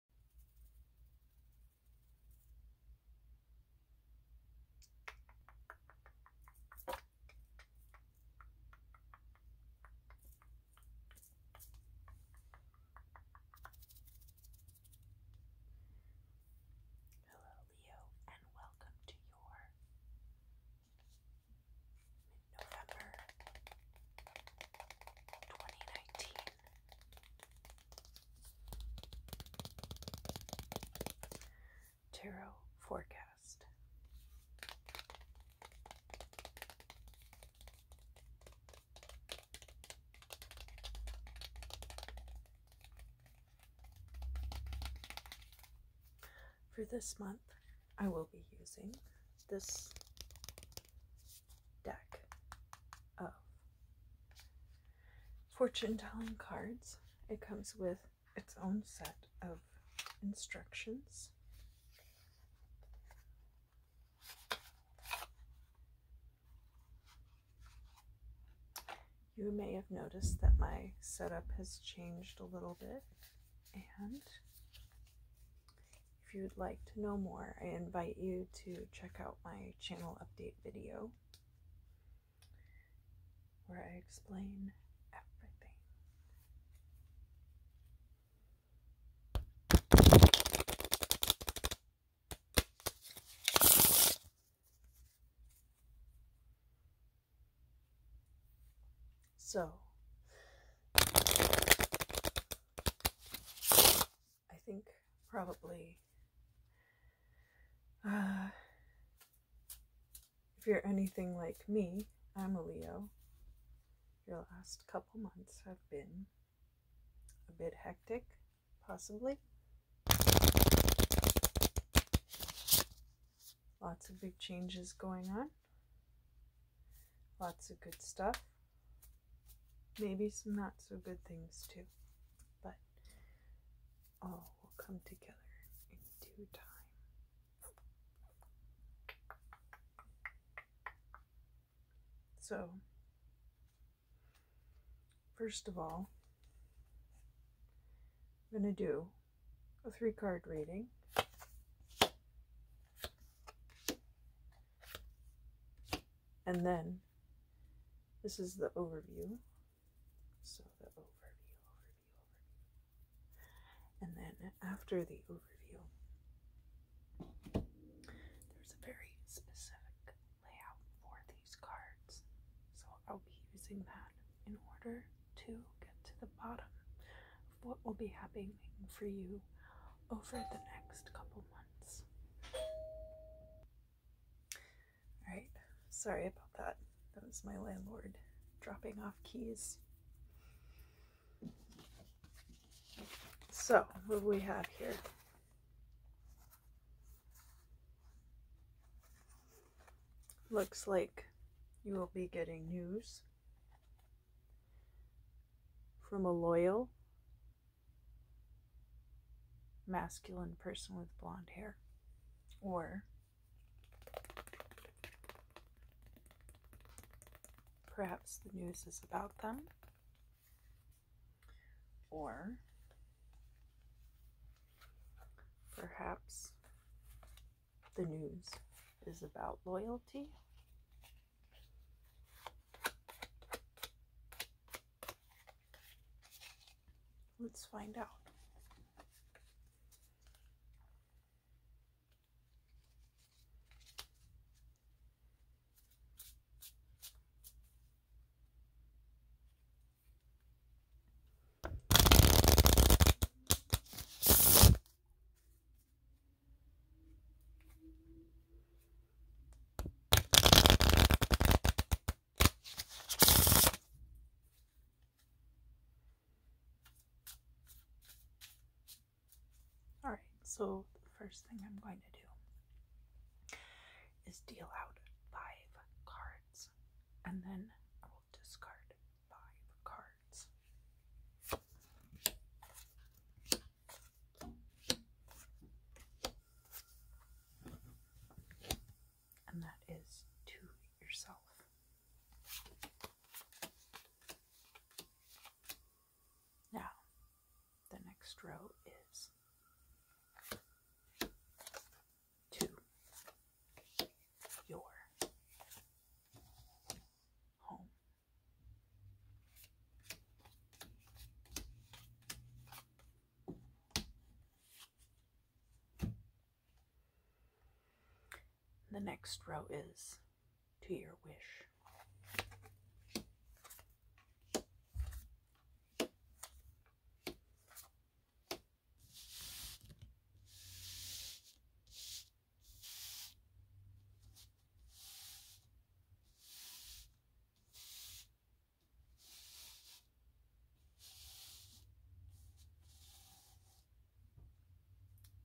Hello, Leo, and welcome to your November 2019 Tarot Forecast. For this month, I will be using this deck of fortune telling cards. It comes with its own set of instructions. You may have noticed that my setup has changed a little bit and if you'd like to know more, I invite you to check out my channel update video where I explain everything. So I think probably uh, if you're anything like me, I'm a Leo. Your last couple months have been a bit hectic, possibly. Lots of big changes going on. Lots of good stuff. Maybe some not so good things too, but all will come together in due time. So, first of all, I'm going to do a three card reading. And then this is the overview. So the overview, overview. And then after the overview, there's a very specific layout for these cards. So I'll be using that in order to get to the bottom of what will be happening for you over the next couple months. Alright, sorry about that. That was my landlord dropping off keys. So, what do we have here? Looks like you will be getting news from a loyal, masculine person with blonde hair. Or perhaps the news is about them. Or perhaps the news is about loyalty Let's find out. All right, so the first thing I'm going to do is deal out five cards and then I will discard five cards. And that is to yourself. Now, the next row is to your home. The next row is to your wish.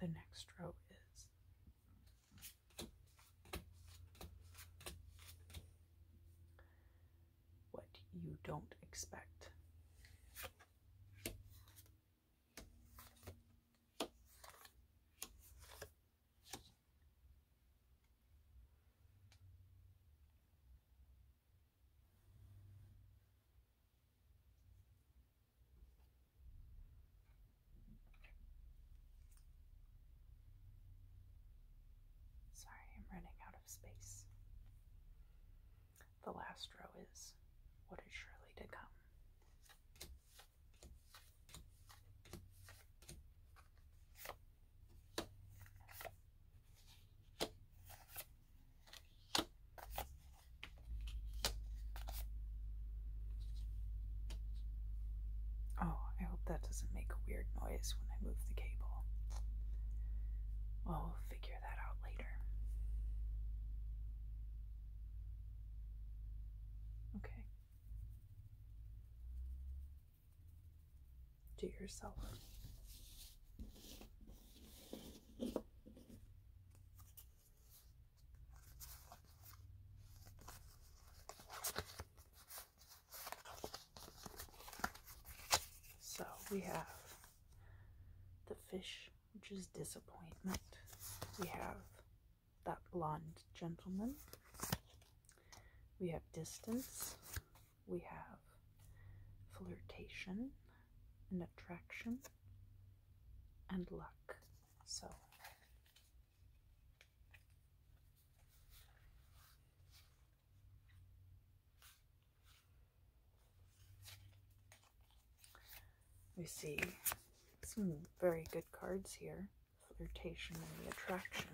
The next row is what you don't expect. Sorry, I'm running out of space. The last row is what is surely to come. Oh, I hope that doesn't make a weird noise when I move the cable. Well, we'll figure that out later. Okay. Do yourself. So we have the fish, which is disappointment. We have that blonde gentleman. We have distance. We have flirtation and attraction and luck. So we see some very good cards here flirtation and attraction.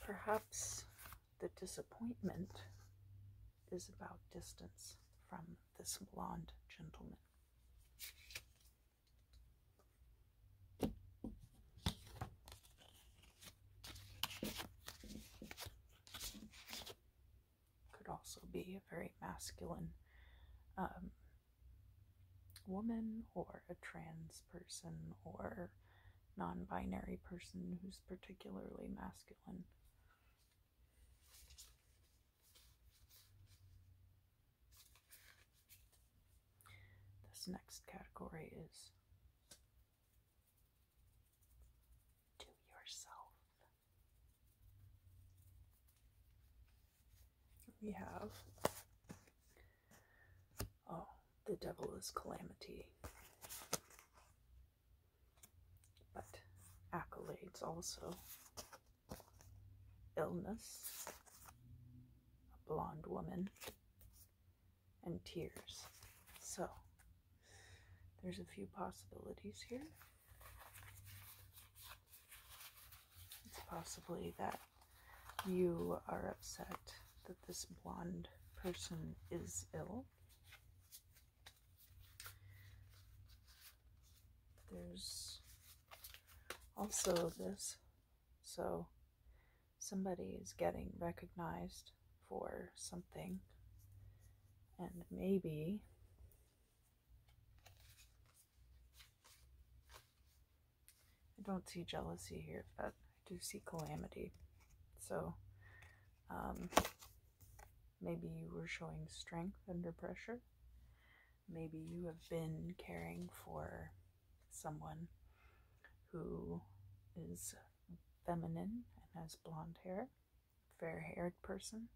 Perhaps the disappointment is about distance from this blonde gentleman could also be a very masculine um, woman or a trans person or non binary person who's particularly masculine. This next category is to yourself. We have oh, the devil is calamity. But accolades also. Illness, a blonde woman, and tears. So there's a few possibilities here. It's possibly that you are upset that this blonde person is ill. There's also this. So somebody is getting recognized for something. And maybe I don't see jealousy here, but I do see calamity. So, um, maybe you were showing strength under pressure. Maybe you have been caring for someone who is feminine and has blonde hair, fair haired person.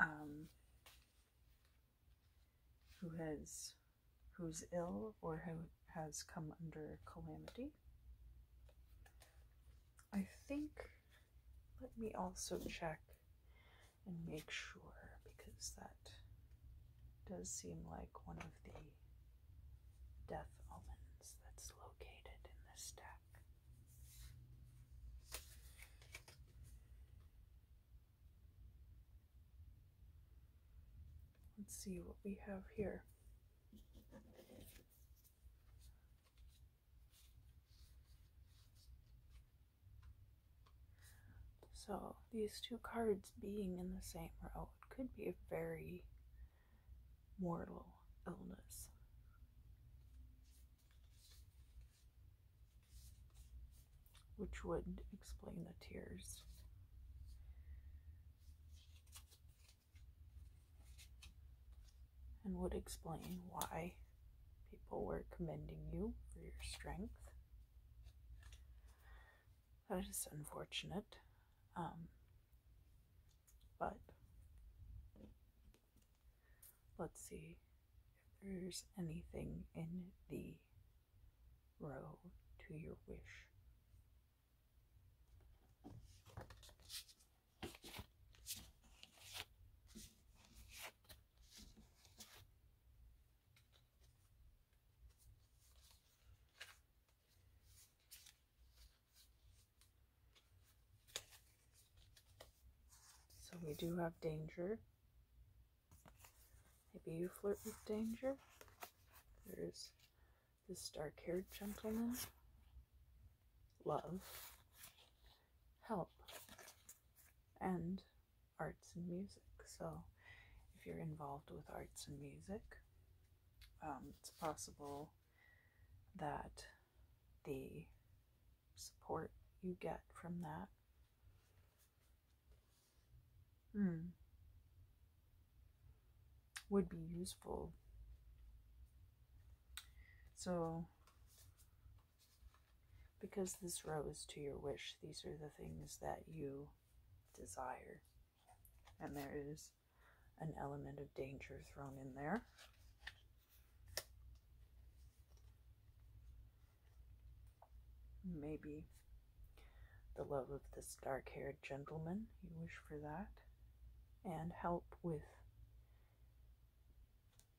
Um, who has who's ill or who has come under calamity. I think let me also check and make sure because that does seem like one of the death omens that's located in this deck. Let's see what we have here. So, these two cards being in the same row could be a very mortal illness which would explain the tears. And would explain why people were commending you for your strength. That is unfortunate. Um, but Let's see if there's anything in the row to your wish. So we do have danger. Maybe you flirt with danger. There's this dark haired gentleman. Love, help, and arts and music. So if you're involved with arts and music, um, it's possible that the support you get from that. Hmm. Would be useful. So, because this rose to your wish, these are the things that you desire. And there is an element of danger thrown in there. Maybe the love of this dark haired gentleman, you wish for that, and help with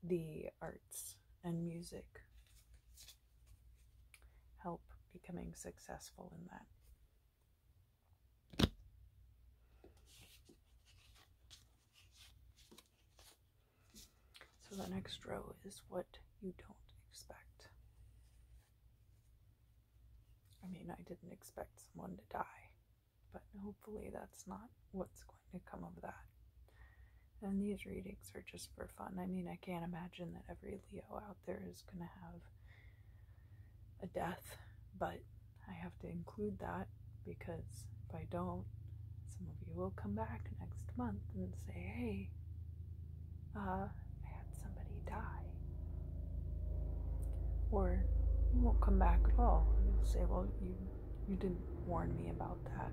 the arts and music. Help becoming successful in that. So the next row is what you don't expect. I mean, I didn't expect someone to die, but hopefully that's not what's going to come of that. And these readings are just for fun. I mean, I can't imagine that every Leo out there is going to have a death, but I have to include that because if I don't, some of you will come back next month and say, hey, uh, I had somebody die. Or you won't come back at all. You'll say, well, you, you didn't warn me about that.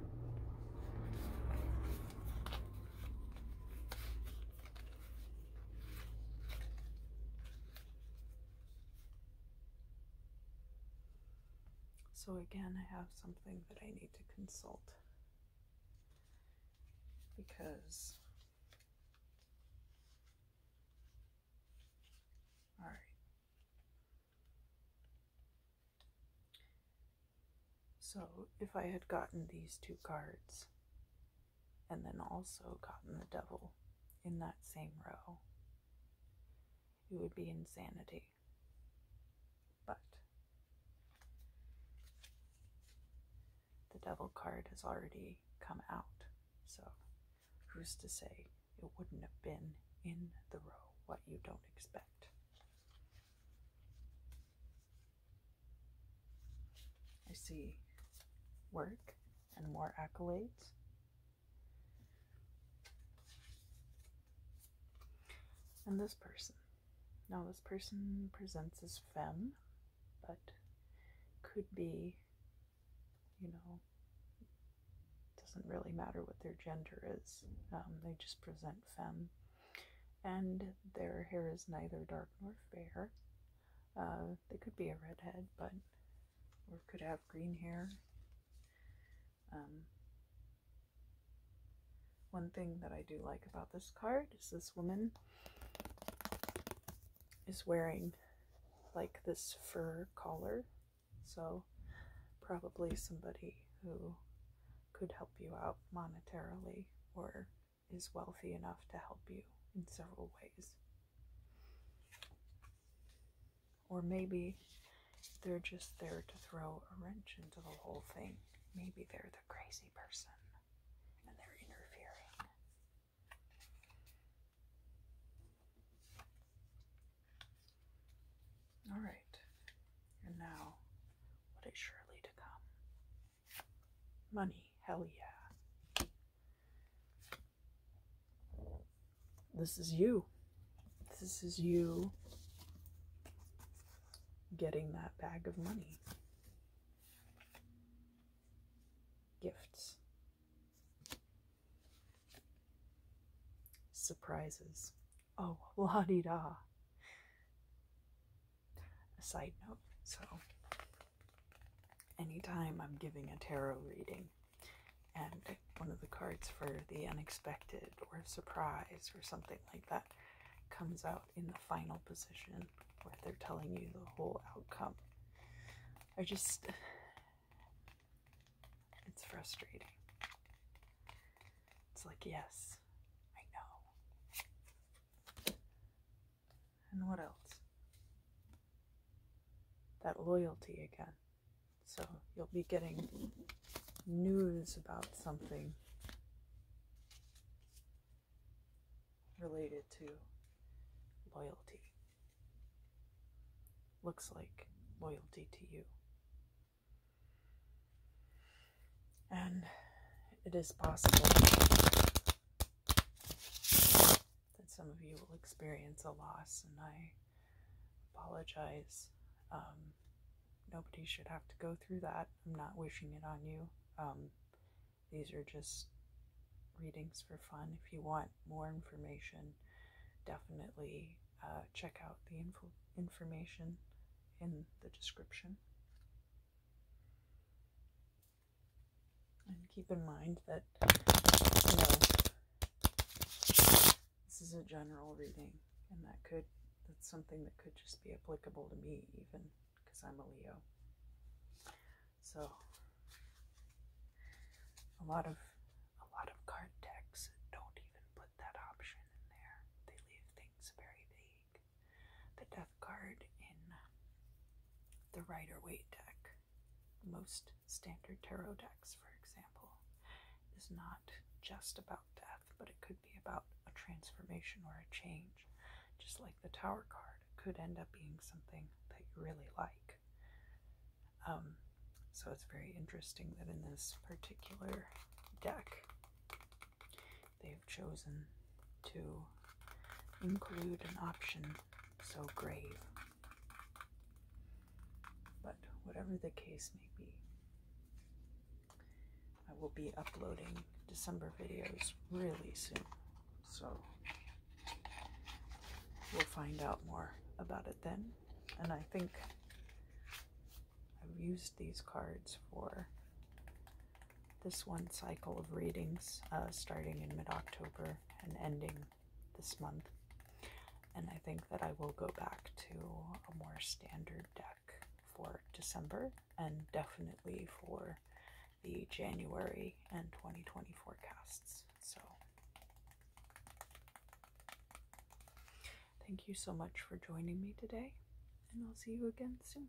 So again, I have something that I need to consult because all right. So if I had gotten these two cards and then also gotten the devil in that same row, it would be insanity. But the devil card has already come out, so who's to say it wouldn't have been in the row what you don't expect? I see work and more accolades and this person. Now, this person presents as femme, but could be, you know, doesn't really matter what their gender is. Um, they just present femme. And their hair is neither dark nor fair. Uh, they could be a redhead, but or could have green hair. Um, one thing that I do like about this card is this woman is wearing like this fur collar, so probably somebody who could help you out monetarily or is wealthy enough to help you in several ways. Or maybe they're just there to throw a wrench into the whole thing. Maybe they're the crazy person and they're interfering. All right, and now what is surely to come? Money, hell yeah. This is you. This is you getting that bag of money. Gifts. Surprises. Oh, la di da. A side note so, anytime I'm giving a tarot reading, and one of the cards for the unexpected or surprise or something like that comes out in the final position where they're telling you the whole outcome. I just, it's frustrating. It's like, yes, I know. And what else? That loyalty again. So you'll be getting news about something related to loyalty. Looks like loyalty to you. And it is possible that some of you will experience a loss, and I apologize. Um, nobody should have to go through that. I'm not wishing it on you. Um, these are just readings for fun. If you want more information, definitely uh, check out the info- information in the description. And keep in mind that, this is a general reading, and that could, that's something that could just be applicable to me, even because I'm a Leo. So, a lot of, a lot of card decks don't even put that option in there. They leave things very vague. The death card in the Rider Waite deck, most standard tarot decks, for example, is not just about death, but it could be about a transformation or a change. Just like the Tower card, could end up being something that you really like. Um, so it's very interesting that in this particular deck, they've chosen to include an option so grave but whatever the case may be, I will be uploading December videos really soon. So we'll find out more about it then. And I think I've used these cards for this one cycle of readings, uh, starting in mid October and ending this month. And I think that I will go back to a more standard deck for December and definitely for the January and 2020 forecasts. So thank you so much for joining me today, and I'll see you again soon.